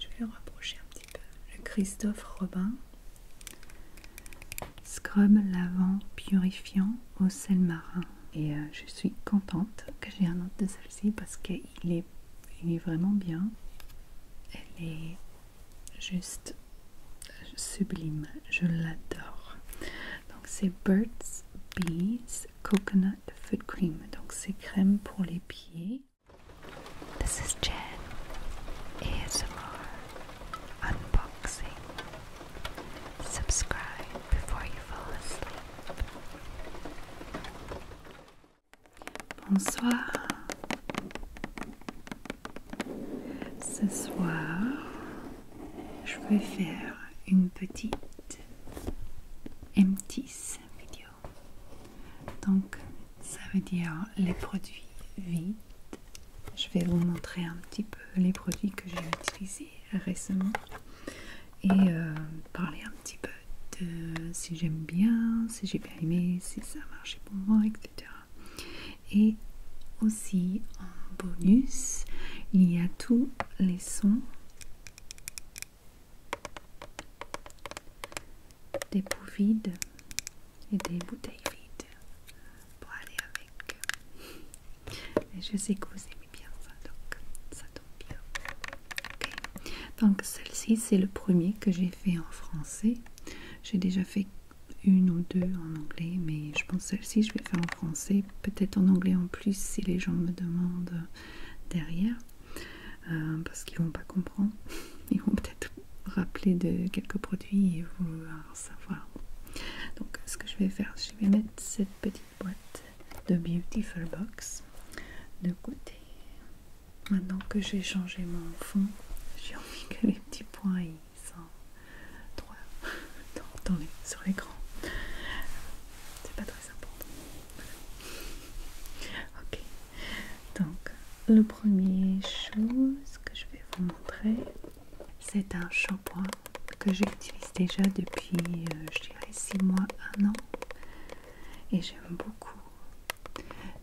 Je vais le rapprocher un petit peu. Le Christophe Robin. Scrub lavant purifiant au sel marin. Et euh, je suis contente que j'ai un autre de celle-ci parce qu'il est, vraiment bien. Elle est juste sublime. Je l'adore. Donc c'est Birds Bees Coconut Foot Cream. Donc c'est crème pour les pieds. This is Jen ASMR Unboxing. Subscribe before you fall asleep. Bonsoir. Ce soir, je vais faire une petite MTIS vidéo. Donc, ça veut dire les produits vides. Je vais vous montrer un petit peu les produits que j'ai utilisés récemment et euh, parler un petit peu de si j'aime bien, si j'ai bien aimé, si ça a marché pour moi, etc. Et aussi en bonus, il y a tous les sons des bouts vides et des bouteilles vides pour aller avec. Et je sais que vous aimez bien ça, donc ça tombe bien. Donc celle-ci, c'est le premier que j'ai fait en français. J'ai déjà fait une ou deux en anglais, mais je pense celle-ci, je vais faire en français. Peut-être en anglais en plus si les gens me demandent derrière. Euh, parce qu'ils vont pas comprendre. Ils vont peut-être rappeler de quelques produits et vouloir savoir. Donc, ce que je vais faire, je vais mettre cette petite boîte de Beautiful Box de côté. Maintenant que j'ai changé mon fond, j'ai envie que les petits points ils sont droits sur l'écran. C'est pas très important. Ok, donc le premier chose que je vais vous montrer, c'est un shampoing que j'utilise déjà depuis, euh, je dirais, 6 mois, 1 an. Et j'aime beaucoup.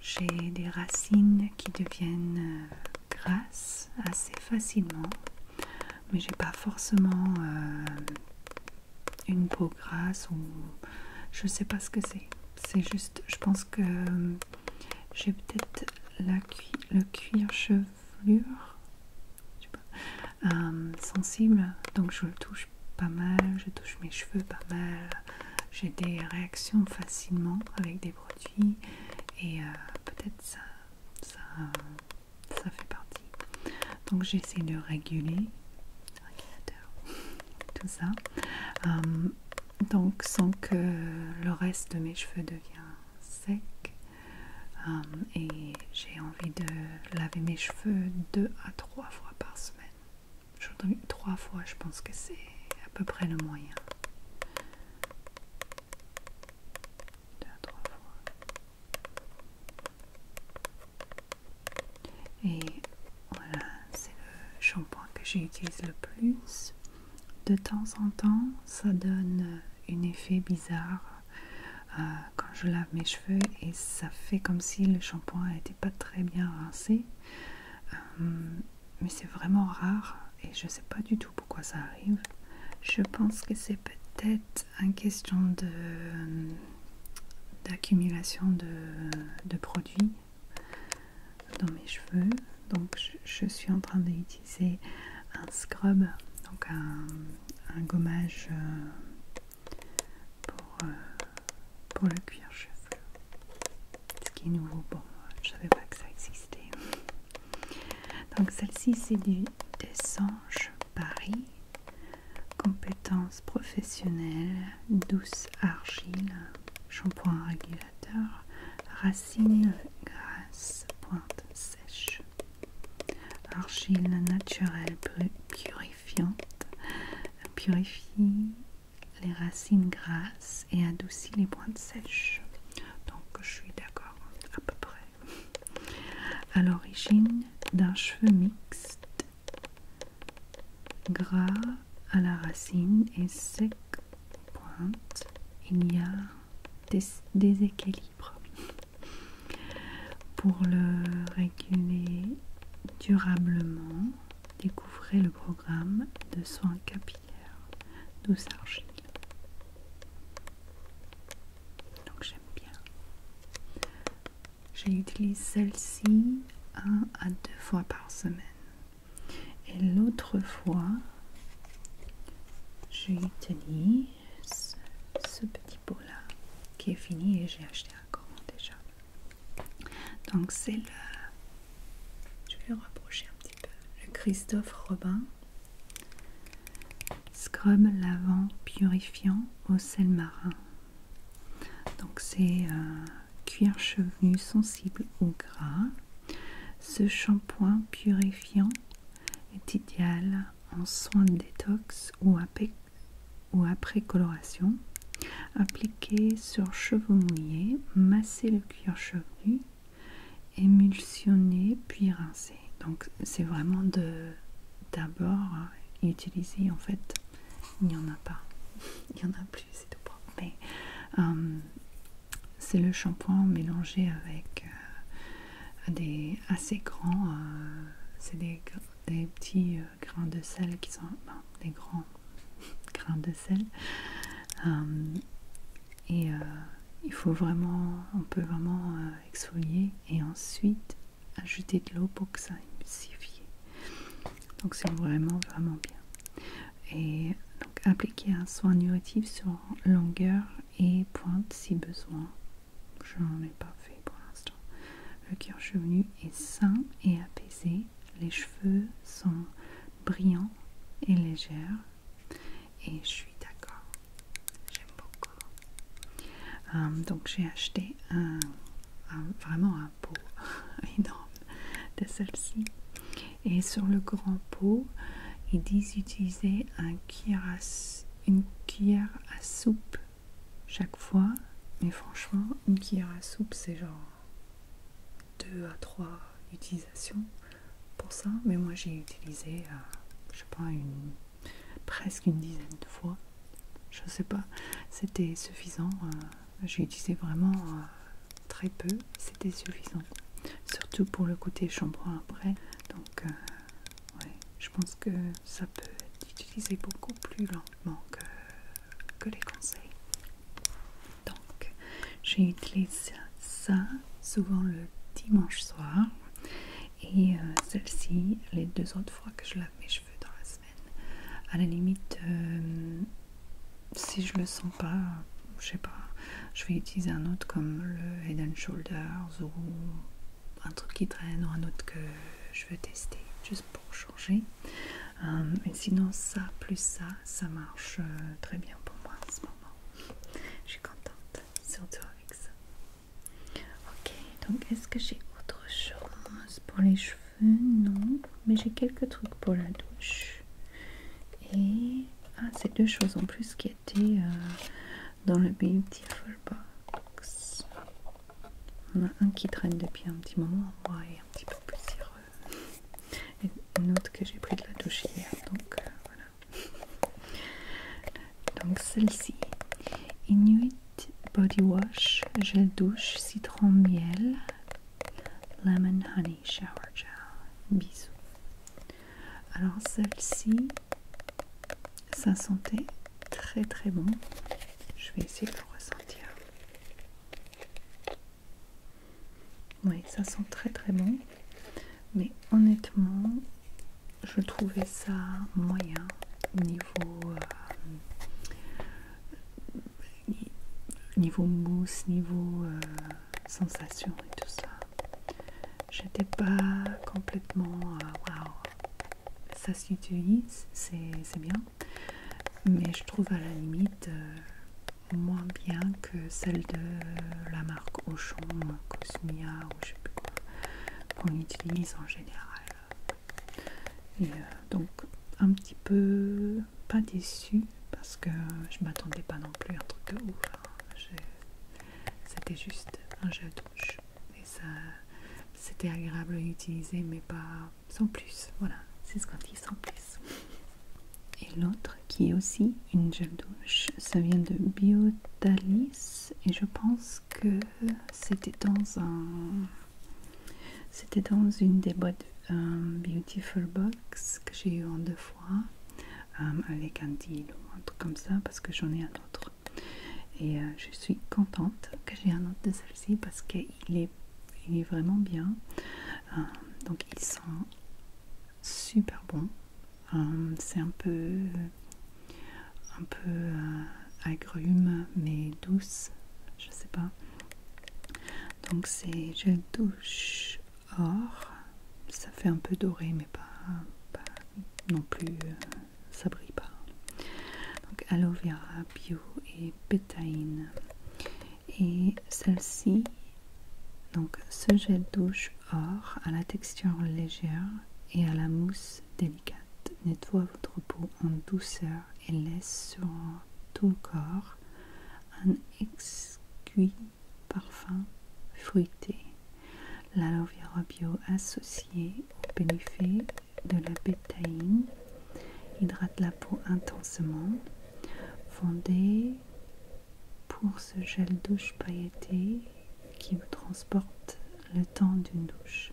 J'ai des racines qui deviennent euh, grasses assez facilement, mais j'ai pas forcément euh, une peau grasse ou je sais pas ce que c'est. C'est juste, je pense que j'ai peut-être la cuir, le cuir chevelure euh, sensible, donc je le touche pas mal, je touche mes cheveux pas mal. J'ai des réactions facilement avec des produits et euh, peut-être ça, ça ça fait partie. Donc j'essaie de réguler tout ça, euh, donc sans que le reste de mes cheveux devienne sec. Euh, et j'ai envie de laver mes cheveux deux à trois fois par semaine. trois fois, je pense que c'est à peu près le moyen. Deux à trois fois. Et voilà, c'est le shampoing que j'utilise le plus. De temps en temps, ça donne un effet bizarre euh, quand je lave mes cheveux et ça fait comme si le shampoing n'était pas très bien rincé. Euh, mais c'est vraiment rare et je ne sais pas du tout pourquoi ça arrive. Je pense que c'est peut-être une question de euh, d'accumulation de, produits dans mes cheveux. Donc je, suis en train d'utiliser un scrub, donc un, gommage euh, euh, pour, le cuir chevelu. Ce qui est nouveau bon, je savais pas que ça existait. Donc celle-ci c'est du Desange Paris Compétences professionnelles, douce argile, shampoing régulateur, racines grasses, pointes sèches Argile naturelle purifiante, purifie les racines grasses et adoucit les pointes sèches. Donc je suis d'accord à peu près à l'origine d'un cheveu mixte, gras à la racine et sec pointe, il y a des déséquilibres. Pour le réguler durablement, découvrez le programme de soins capillaires douce argile donc j'aime bien. J'utilise celle-ci un à deux fois par semaine. Et l'autre fois, j'ai j'utilise ce petit pot-là qui est fini et j'ai acheté un commande déjà. Donc c'est le... Je vais le rapprocher un petit peu. Le Christophe Robin Scrub lavant purifiant au sel marin. Donc c'est euh, cuir chevelu sensible au gras. Ce shampoing purifiant est idéal en soins de détox ou après, coloration. Appliqué sur cheveux mouillés, massez le cuir chevelu, émulsionnez puis rincez. Donc c'est vraiment de d'abord utiliser en fait il n'y en a pas. Il y en a plus, c'est tout propre. Mais euh, c'est le shampoing mélangé avec euh, des assez grands, euh, c'est des, petits grains de sel qui sont ben, des grands grains de sel. et il faut vraiment, on peut vraiment exfolier et ensuite ajouter de l'eau pour que ça Donc c'est vraiment vraiment bien. Et donc appliquer un soin nutritif sur longueur et pointe si besoin. Je n'en ai pas fait pour l'instant. Le cuir chevelu est sain et apaisé. Les cheveux sont brillants et légers. Et je suis d'accord. J'aime beaucoup. Euh, donc j'ai acheté un, vraiment un pot énorme de celle-ci. Et sur le grand pot, ils disent utiliser une cuillère à soupe chaque fois. Mais franchement, une cuillère à soupe, c'est genre 2 à 3 utilisations pour ça. Mais moi, j'ai utilisé, euh, je sais pas, une presque une dizaine de fois. Je sais pas, c'était suffisant. Euh, j'ai utilisé vraiment euh, très peu, c'était suffisant. Surtout pour le côté shampoing après. Donc, euh, je pense que ça peut être utilisé beaucoup plus lentement que, que les conseils. Donc, j'ai utilisé ça souvent le dimanche soir et euh, celle-ci, les deux autres fois que je lave mes cheveux dans la semaine, à la limite, euh, si je le sens pas, je sais pas, je vais utiliser un autre comme le Head Shoulders ou un truc qui traîne ou un autre que je veux tester juste pour changer. Mais euh, sinon, ça plus ça, ça marche très bien pour moi en ce moment. Je suis contente surtout avec ça. Ok, donc est-ce que j'ai autre chose pour les cheveux Non, mais j'ai quelques trucs pour la douche. Et ah, c'est deux choses en plus qui étaient euh, dans le Beautiful Box. On a un qui traîne depuis un petit moment, moi, et un petit peu poussiéreux. Et une autre que j'ai pris de la douche hier, donc euh, voilà. Donc celle-ci. Inuit Body Wash, gel douche, citron miel, lemon honey shower gel. Bisous. Alors celle-ci, ça sentait très très bon. Je vais essayer de le ressentir. Oui, ça sent très très bon mais honnêtement je trouvais ça moyen niveau euh, niveau mousse niveau euh, sensation et tout ça j'étais pas complètement euh, ça s'utilise c'est bien mais je trouve à la limite moins bien que celle de la marque Auchan Cosmia ou je sais plus quoi qu'on utilise en général. Et euh, donc un petit peu pas déçu parce que je m'attendais pas non plus à un truc de ouf. Hein. C'était juste un jeu douche et ça c'était agréable à utiliser mais pas sans plus. Voilà, c'est ce qu'on dit sans plus. Et l'autre qui est aussi une gel douche. Ça vient de Biotalis et je pense que c'était dans un c'était dans une des boîtes euh, Beautiful Box que j'ai eu en deux fois euh, avec un deal ou un truc comme ça parce que j'en ai un autre et euh, je suis contente que j'ai un autre de celle-ci parce qu'il est, il est vraiment bien donc ils sent super bon euh, c'est un peu, un peu euh, agrume mais douce, je sais pas. Donc c'est gel douche or, ça fait un peu doré mais pas, non plus, euh, ça brille pas. Donc aloe vera bio et pétaïne. Et celle-ci, donc ce gel douche or à la texture légère et à la mousse délicate nettoie votre peau en douceur et laisse sur tout le corps un exquis parfum fruité. L'aloe vera bio associé au bénéfice de la bétaïne hydrate la peau intensément. fondée pour ce gel douche pailleté qui vous transporte le temps d'une douche.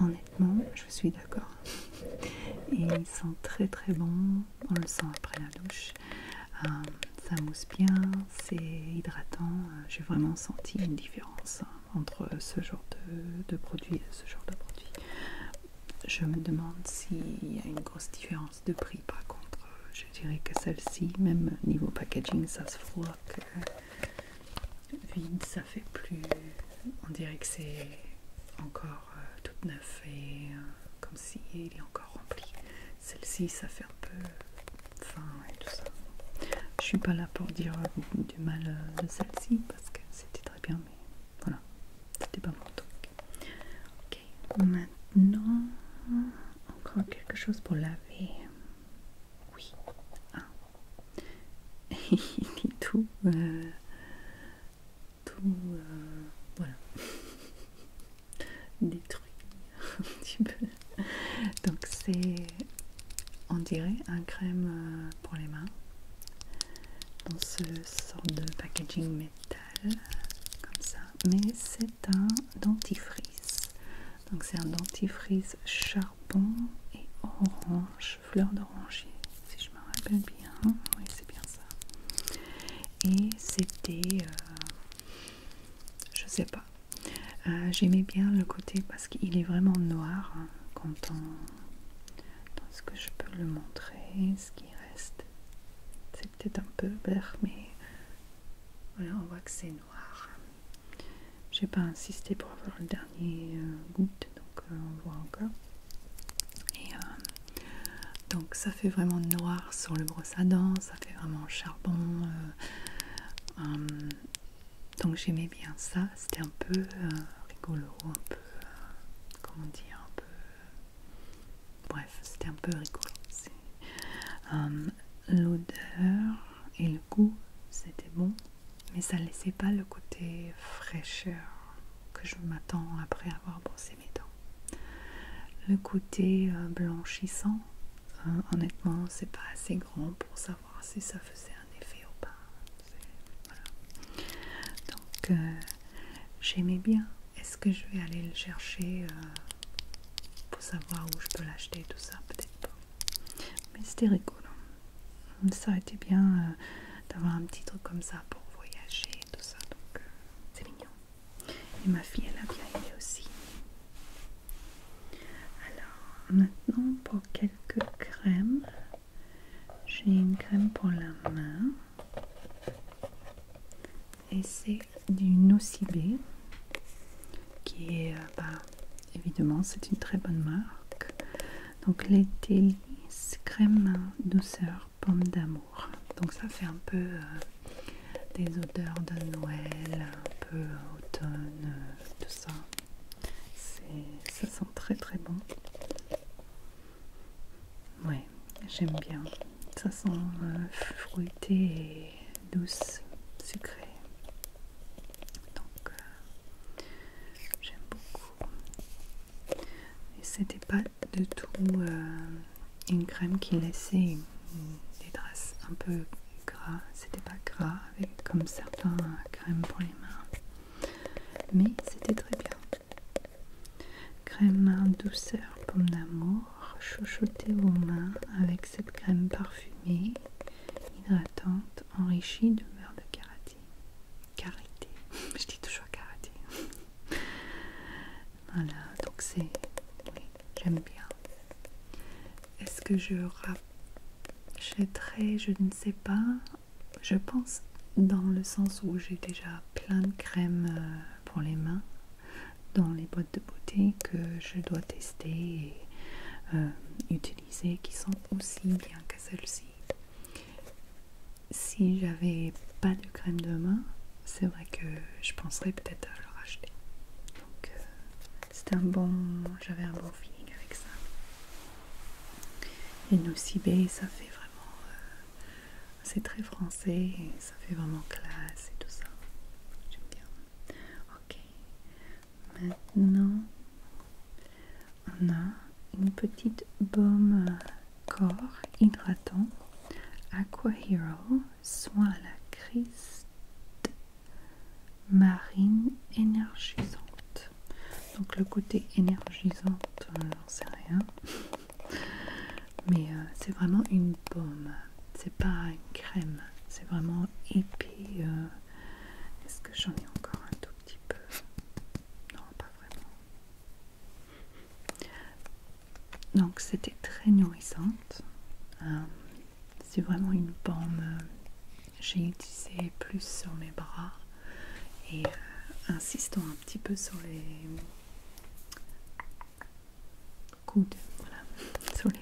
Honnêtement, je suis d'accord. il sent très très bon, on le sent après la douche. Euh, ça mousse bien, c'est hydratant. J'ai vraiment senti une différence entre ce genre de, de produit et ce genre de produit. Je me demande s'il y a une grosse différence de prix par contre euh, je dirais que celle-ci même niveau packaging ça se voit que euh, vide ça fait plus on dirait que c'est encore euh, tout neuf et comme si il est encore rempli celle-ci ça fait un peu fin et tout ça je suis pas là pour dire du mal de celle-ci parce que c'était très bien mais voilà c'était pas mon truc ok maintenant non, encore quelque chose pour laver. Oui. Il ah. est tout... Euh, tout... Euh, voilà. Détruit un petit peu. Donc c'est, on dirait, un crème euh, pour les mains. Dans ce sort de packaging mais comme ça, mais c'est un dentifrice. Donc c'est un dentifrice charbon et orange, fleur d'oranger, si je me rappelle bien. Oui, c'est bien ça. Et c'était, euh, je sais pas. Euh, j'aimais bien le côté parce qu'il est vraiment noir hein, quand on. Est-ce que je peux le montrer Ce qui reste c'est peut-être un peu vert, mais on voit que c'est noir. J'ai pas insisté pour avoir le dernier euh, goutte, donc euh, on voit encore. Et euh, donc ça fait vraiment noir sur le brosse à dents, ça fait vraiment charbon. Hum, donc j'aimais bien ça, c'était un peu rigolo, un peu, comment dire, un peu Bref, c'était un peu rigolo. Euh, l'odeur et le goût, c'était bon, mais ça ne laissait pas le côté fraîcheur que je m'attends après avoir brossé mes dents. Le côté euh, blanchissant, hein, honnêtement, c'est pas assez grand pour savoir si ça faisait un effet ou pas. Donc, euh, J'aimais bien. Est-ce que je vais aller le chercher euh, pour savoir où je peux l'acheter, tout ça Peut-être pas. Mais c'était rigolo. Ça a été bien euh, d'avoir un petit truc comme ça pour voyager, tout ça. Donc, euh, c'est mignon. Et ma fille, elle a bien aimé aussi. Alors, maintenant pour quelques crèmes. J'ai une crème pour la main et c'est du nocibé qui est, euh, bah, évidemment, c'est une très bonne marque. Donc les crème, douceur, pomme d'amour. Donc ça fait un peu euh, des odeurs de Noël, un peu euh, automne, tout ça. Ça sent très très bon. Ouais, j'aime bien. Ça sent euh, fruité et douce, sucré. Donc, euh, j'aime beaucoup. Et c'était pas du tout euh, une crème qui laissait des traces un peu gras. C'était pas gras comme certains crèmes pour les mains. Mais c'était très bien. Crème douceur pomme d'amour, chouchoutez aux mains avec cette crème parfumée, hydratante, enrichie de beurre de karaté. Karité, je dis toujours karaté. voilà, donc c'est. Oui, j'aime bien. Est-ce que je rachèterai Je ne sais pas je pense dans le sens où j'ai déjà plein de crèmes euh, pour les mains dans les boîtes de beauté que je dois tester et euh, utiliser qui sont aussi bien que celles ci Si j'avais pas de crème de main, c'est vrai que je penserais peut-être à le racheter. Donc euh, c'est un bon, j'avais un bon feeling avec ça. Et B, ça fait vraiment c'est très français ça fait vraiment classe et tout ça. J'aime bien. Ok. Maintenant, on a une petite baume euh, corps hydratant Aqua Hero, soin à la crise marine énergisante. Donc le côté énergisante, n'en sait rien. Mais euh, c'est vraiment une pomme, c'est pas une crème, c'est vraiment épais. Euh. Est-ce que j'en ai encore un tout petit peu Non, pas vraiment. Donc c'était très nourrissante. Euh, c'est vraiment une pomme. J'ai utilisé plus sur mes bras et un peu, petit peu sur les coudes, voilà, sur les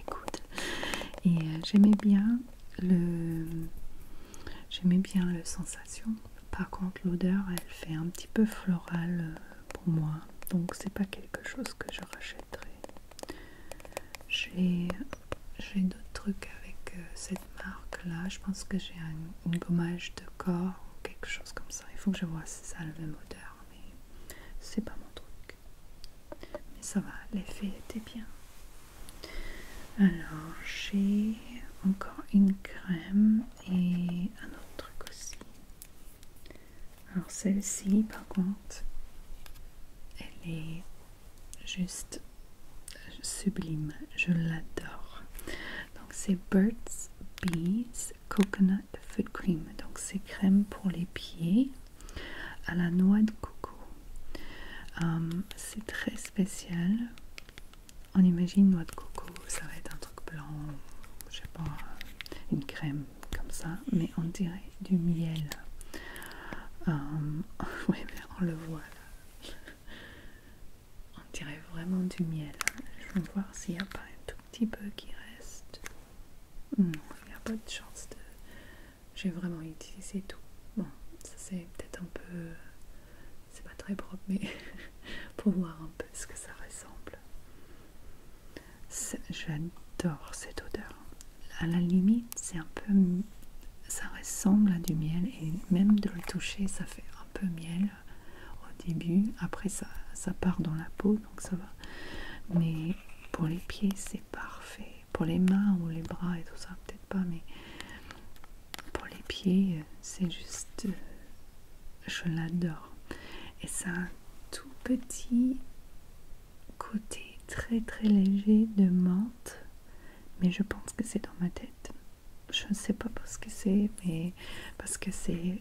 Et euh, j'aimais bien le, j'aimais bien le sensation. Par contre, l'odeur, elle fait un petit peu floral euh, pour moi, donc c'est pas quelque chose que je rachèterai. J'ai d'autres trucs avec euh, cette marque là je pense que j'ai un une gommage de corps ou quelque chose comme ça il faut que je vois si ça a le même odeur mais c'est pas mon truc mais ça va l'effet était bien alors j'ai encore une crème et un autre truc aussi alors celle-ci par contre elle est juste sublime, je l'adore. Donc c'est Birds Bees Coconut Foot Cream. Donc c'est crème pour les pieds à la noix de coco. Hum, c'est très spécial. On imagine noix de coco, ça va être un truc blanc, je sais pas, une crème comme ça, mais on dirait du miel. Hum, oui, mais on le voit là. On dirait vraiment du miel. Hein. Je vais voir s'il n'y a pas un tout petit peu qui reste. Non, hmm, il n'y a pas de chance de... J'ai vraiment utilisé tout. Bon, ça c'est peut-être un peu... C'est pas très propre, mais pour voir un peu ce que ça ressemble. J'adore cette odeur. À la limite, c'est un peu ça ressemble à du miel et même de le toucher ça fait un peu miel au début après ça, ça part dans la peau donc ça va mais pour les pieds c'est parfait pour les mains ou les bras et tout ça peut-être pas mais pour les pieds c'est juste je l'adore et ça a un tout petit côté très très léger de menthe mais je pense que c'est dans ma tête. Je ne sais pas parce que c'est, mais parce que c'est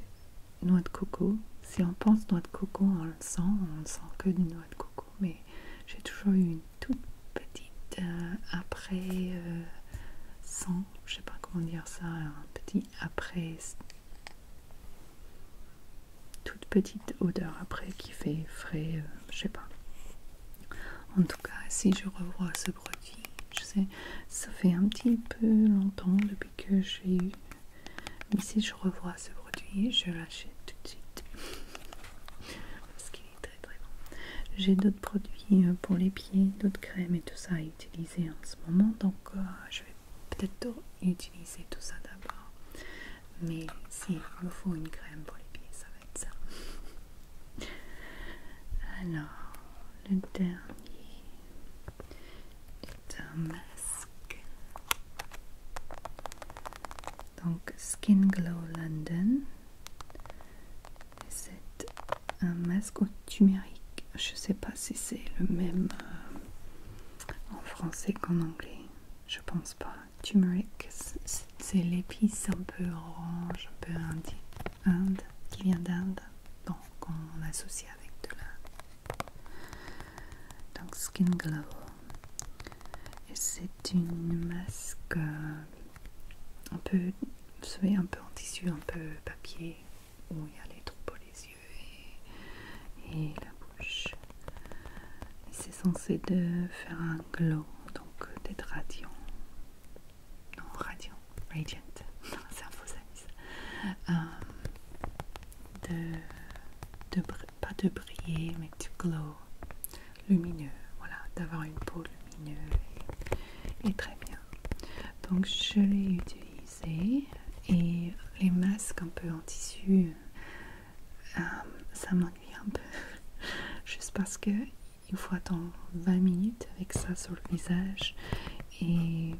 noix de coco. Si on pense noix de coco, on le sent, on ne sent que du noix de coco. Mais j'ai toujours eu une toute petite euh, après euh, sang, je sais pas comment dire ça, un petit après, toute petite odeur après qui fait frais, euh, je sais pas. En tout cas, si je revois ce produit. Je sais, ça fait un petit peu longtemps depuis que j'ai eu. Mais si je revois ce produit, je l'achète tout de suite. Parce qu'il est très très bon. J'ai d'autres produits euh, pour les pieds, d'autres crèmes et tout ça à utiliser en ce moment. Donc euh, je vais peut-être utiliser tout ça d'abord. Mais si me faut une crème pour les pieds, ça va être ça. Alors, le dernier est un masque. Donc, Skin Glow London. C'est un masque au tumérique. Je sais pas si c'est le même euh, en français qu'en anglais. Je pense pas. Tumeric, c'est l'épice un peu orange, un peu indien, qui vient d'Inde, donc on associe avec de la. Donc Skin Glow, c'est une masque euh, un peu, vous un peu en tissu, un peu papier, où il y a les troupeaux les yeux et, la bouche. C'est censé de faire un glow donc euh, d'être radiant, non radiant, radiant, c'est un faux euh, de, de, pas de briller mais de glow, lumineux, voilà, d'avoir une peau lumineuse et, très bien. Donc je l'ai utilisé et les masques un peu en tissu, euh, ça m'ennuie un peu, juste parce que il faut attendre 20 minutes avec ça sur le visage et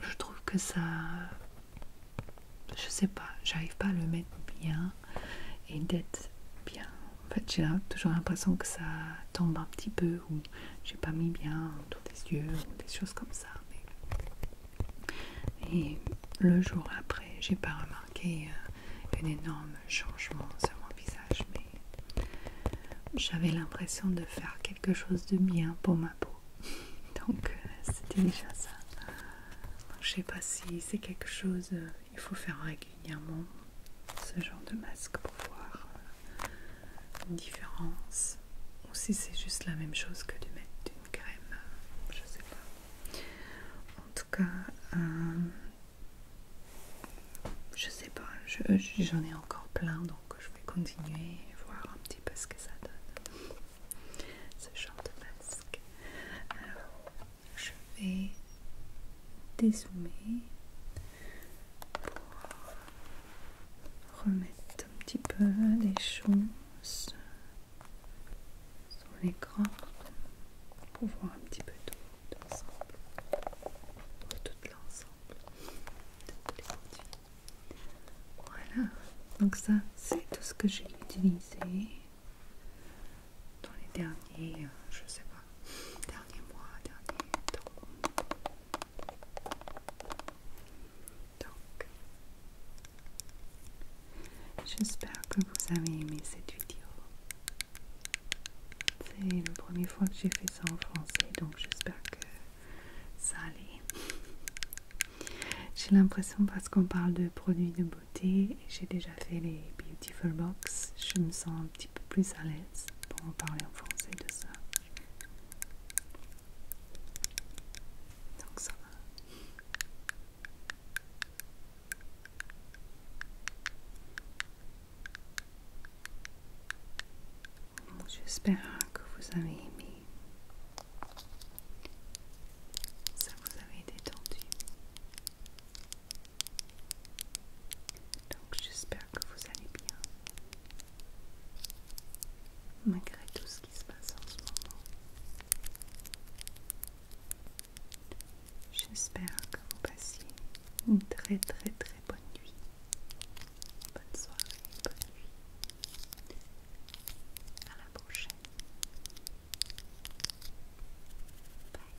je trouve que ça je sais pas j'arrive pas à le mettre bien et d'être bien en fait j'ai toujours l'impression que ça tombe un petit peu ou j'ai pas mis bien autour des yeux ou des choses comme ça mais... et le jour après j'ai pas remarqué euh, un énorme changement sur mon visage, mais j'avais l'impression de faire quelque chose de bien pour ma peau. Donc euh, c'était déjà ça. je sais pas si c'est quelque chose euh, il faut faire régulièrement ce genre de masque pour voir euh, une différence ou si c'est juste la même chose que de mettre une crème, je sais pas. Euh, je sais pas, j'en ai encore plein donc je vais continuer et voir un petit peu ce que ça donne ce genre de masque. Alors, je vais dézoomer pour remettre un petit peu les choses sur pour voir un petit peu tout l'ensemble, tout l'ensemble de tous les produits. Voilà, donc ça c'est tout ce que j'ai utilisé dans les derniers, euh, je sais pas, derniers mois, derniers temps. J'espère que vous avez aimé cette vidéo. C'est la première fois que j'ai fait ça en français, donc j'espère que ça allait. j'ai l'impression parce qu'on parle de produits de beauté, et j'ai déjà fait les Beautiful Box, je me sens un petit peu plus à l'aise pour en parler en français de ça. Donc ça va. J'espère que vous avez aimé. Ça vous avait détendu. Donc j'espère que vous allez bien. Malgré tout ce qui se passe en ce moment. J'espère que vous passiez une très très très bonne nuit. Bonne soirée, bonne nuit. À la prochaine. Bye.